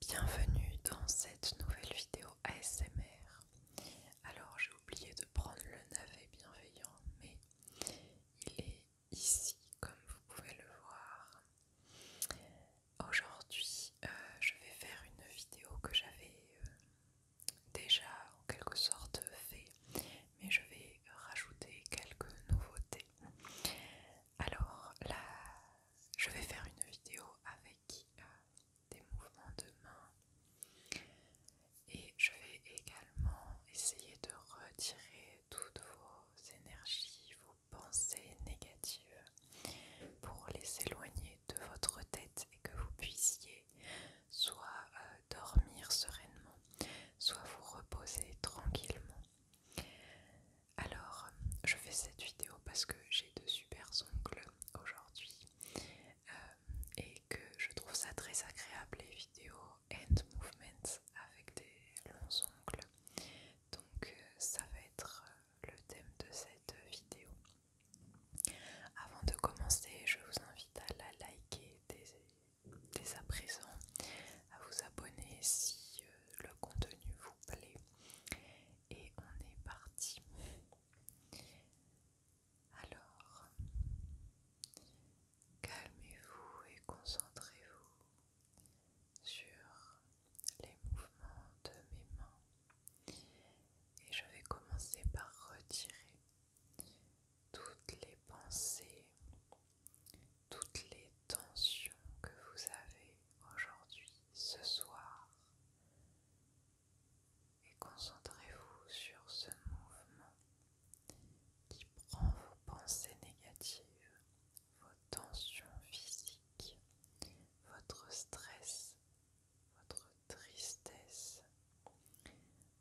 Bienvenue dans cette nouvelle vidéo ASMR. Alors j'ai oublié de prendre le navet bienveillant, mais il est ici comme vous pouvez le voir. Aujourd'hui euh, je vais faire une vidéo que j'avais euh, déjà en quelque sorte fait mais je vais rajouter quelques nouveautés. Alors là, je vais faire une vidéo avec euh, des mouvements de main et je vais également essayer de retirer toutes vos énergies, vos pensées négatives pour les éloigner de votre tête et que vous puissiez soit euh, dormir sereinement, soit vous reposez tranquillement. Alors, je fais cette vidéo parce que j'ai de super ongles aujourd'hui euh, et que je trouve ça très agréable les vidéos hand movements avec des longs ongles. Donc, euh, ça va être euh, le thème de cette vidéo. Avant de commencer, je vous invite à la liker, dès à présent à vous abonner si euh, le contenu vous plaît. Et on est parti. Alors, calmez-vous et concentrez-vous sur les mouvements de mes mains. Et je vais commencer par retirer toutes les pensées, toutes les tensions que vous avez aujourd'hui, ce soir. Et concentrez-vous sur ce mouvement qui prend vos pensées négatives, vos tensions physiques, votre stress, votre tristesse,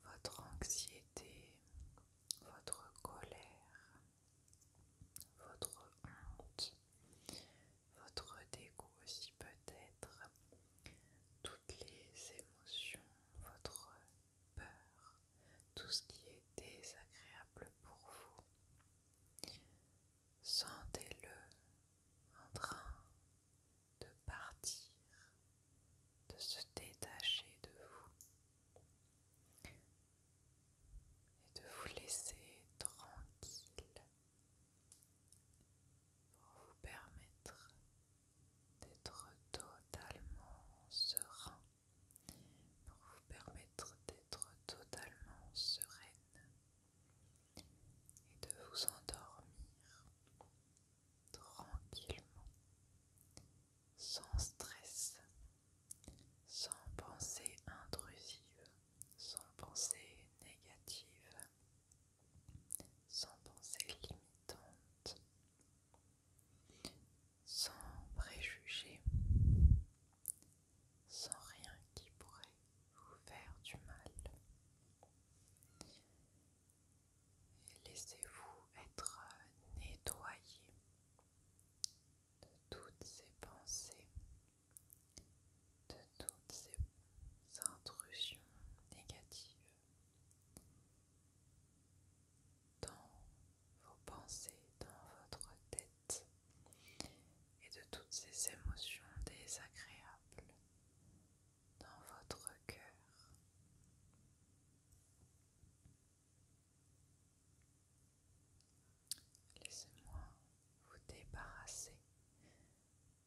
votre anxiété, votre colère, votre honte, votre dégoût aussi peut-être, toutes les émotions, votre peur, tout ce qui est désagréable pour vous. Sentez-le en train de partir, de se détacher de vous et de vous laisser tranquille pour vous permettre d'être totalement serein, pour vous permettre d'être totalement sereine et de vous endormir tranquillement, sans stress, sans pensée intrusive, sans pensée négative, sans pensée limitante, sans préjugés, sans rien qui pourrait vous faire du mal et laissez-vous être euh, nettoyé de toutes ces pensées, de toutes ces intrusions négatives dans vos pensées, dans votre tête et de toutes ces émotions désagréables dans votre cœur. Laissez-moi vous débarrasser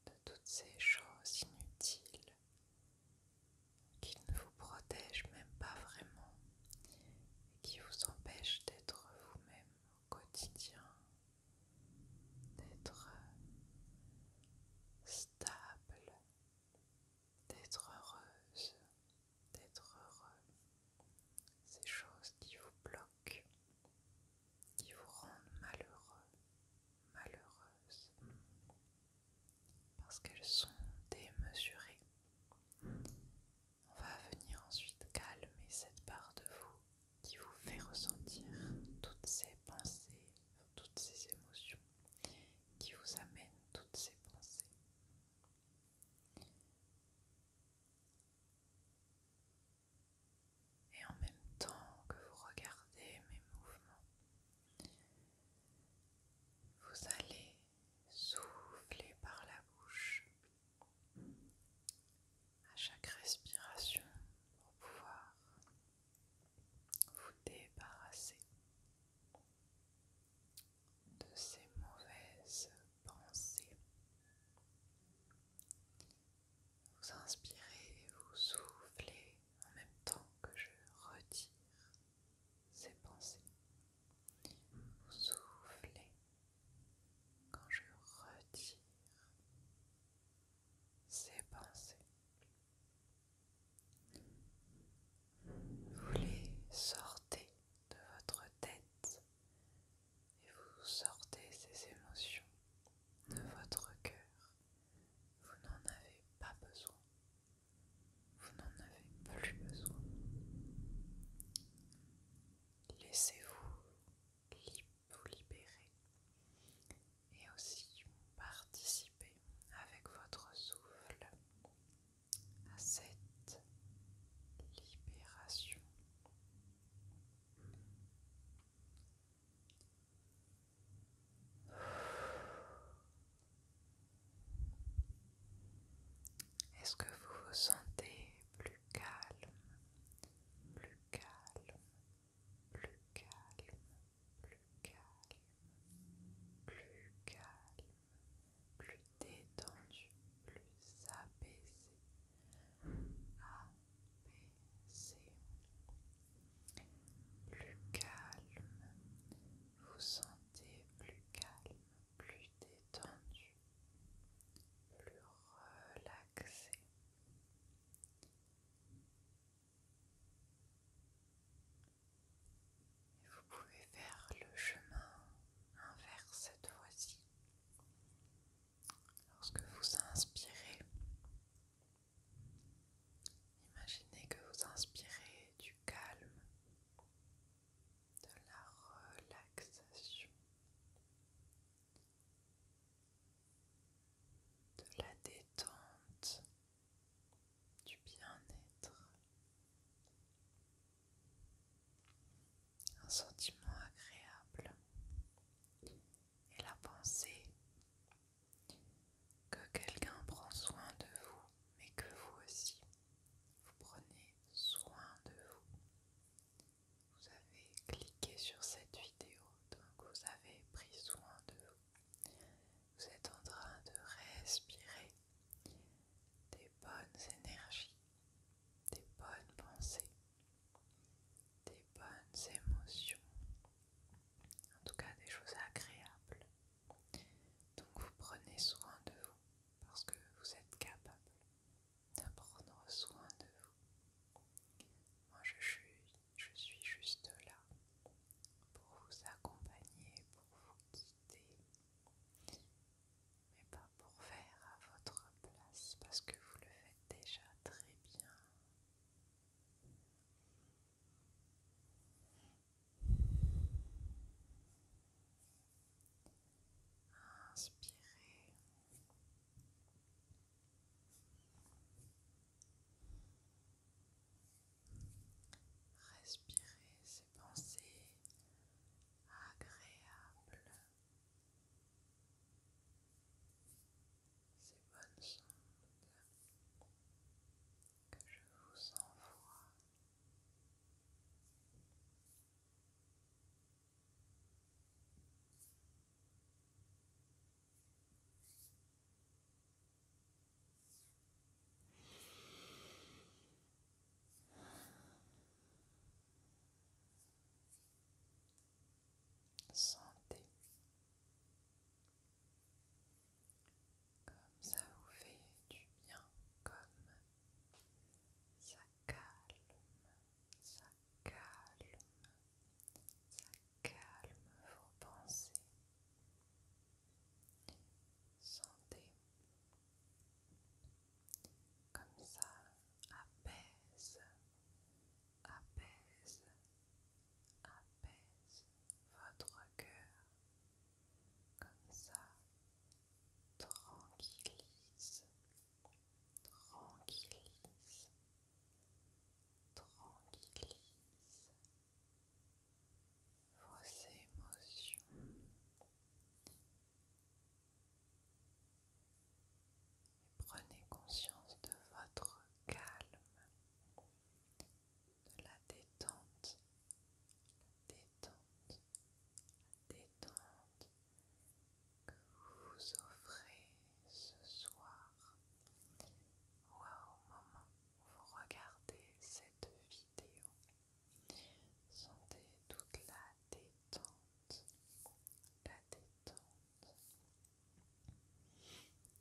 de toutes ces choses inutiles qui ne vous protègent même pas vraiment et qui vous empêchent d'être vous-même au quotidien d'être euh, stable, d'être heureuse, d'être heureux. Ces choses qui vous bloquent, qui vous rendent malheureux, malheureuses, parce qu'elles sont démesurées. On va venir ensuite calmer cette part de vous qui vous fait ressentir toutes ces pensées, toutes ces émotions, qui vous amène toutes ces pensées. Et en même temps que vous regardez mes mouvements, vous allez souffler par la bouche à chaque respiration pour pouvoir vous débarrasser de ces mauvaises pensées. Vous inspirez et vous soufflez en même temps que je retire ces pensées. Vous soufflez quand je retire ces pensées. Vous les sortez de votre tête et vous sortez ces émotions de votre cœur. Vous n'en avez pas besoin. Vous n'en avez plus besoin. Laissez-vous libre. Vous libérer et aussi participer avec votre souffle à cette libération. Est-ce que vous vous sentez plus calme, plus calme, plus calme, plus calme, plus calme, plus détendu, plus apaisé, plus calme. Vous sentez plus calme, plus détendu, plus relaxé vous pouvez faire le chemin inverse cette fois-ci. Lorsque vous inspirez, imaginez que vous inspirez du calme, de la relaxation de la détente, du bien-être, un sentiment agréable et la pensée que quelqu'un prend soin de vous, mais que vous aussi, vous prenez soin de vous vous avez cliqué sur cette vidéo, donc vous avez pris soin de vous. Vous êtes en train de respirer des bonnes énergies, des bonnes pensées, des bonnes émotions, en tout cas des choses agréables. Donc vous prenez soin de vous parce que vous êtes capable de soin de vous. Moi, je suis, je suis juste là pour vous accompagner, pour vous guider, mais pas pour faire à votre place parce que vous le faites déjà très bien. Inspirez. Respirez ces pensées agréables, ces bonnes ondes que je vous envoie. Sentez comme ça vous fait du bien, comme ça calme, ça calme, ça calme vos pensées. Sentez comme ça apaise, apaise, apaise votre cœur. Comme ça, tranquillise, tranquillise, tranquillise vos émotions. Et prenez conscience de votre calme, de la détente, la détente, détente que vous offrez ce soir ou au moment où vous regardez cette vidéo. Sentez toute la détente, la détente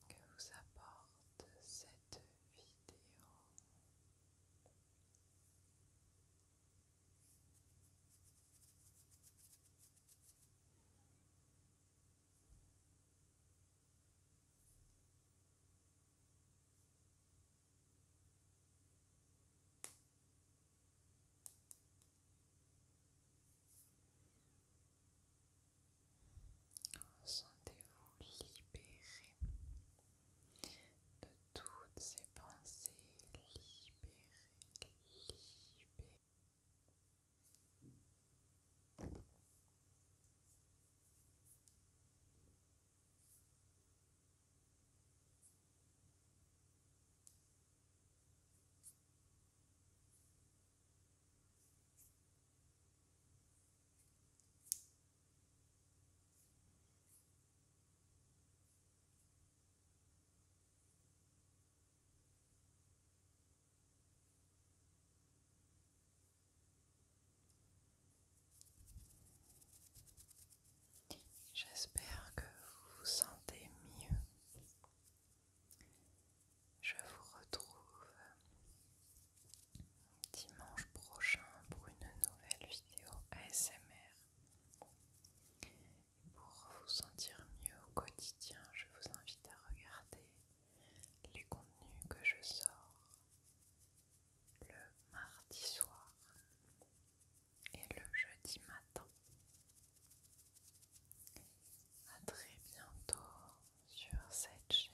que vous apporte cette vidéo. Sentez-vous libéré de toutes ces pensées libérées, J'espère que vous vous sentez mieux. Je vous retrouve dimanche prochain pour une nouvelle vidéo ASMR. pour vous sentir mieux au quotidien, je vous invite à regarder les contenus que je sors le mardi soir et le jeudi matin. À très bientôt sur cette chaîne.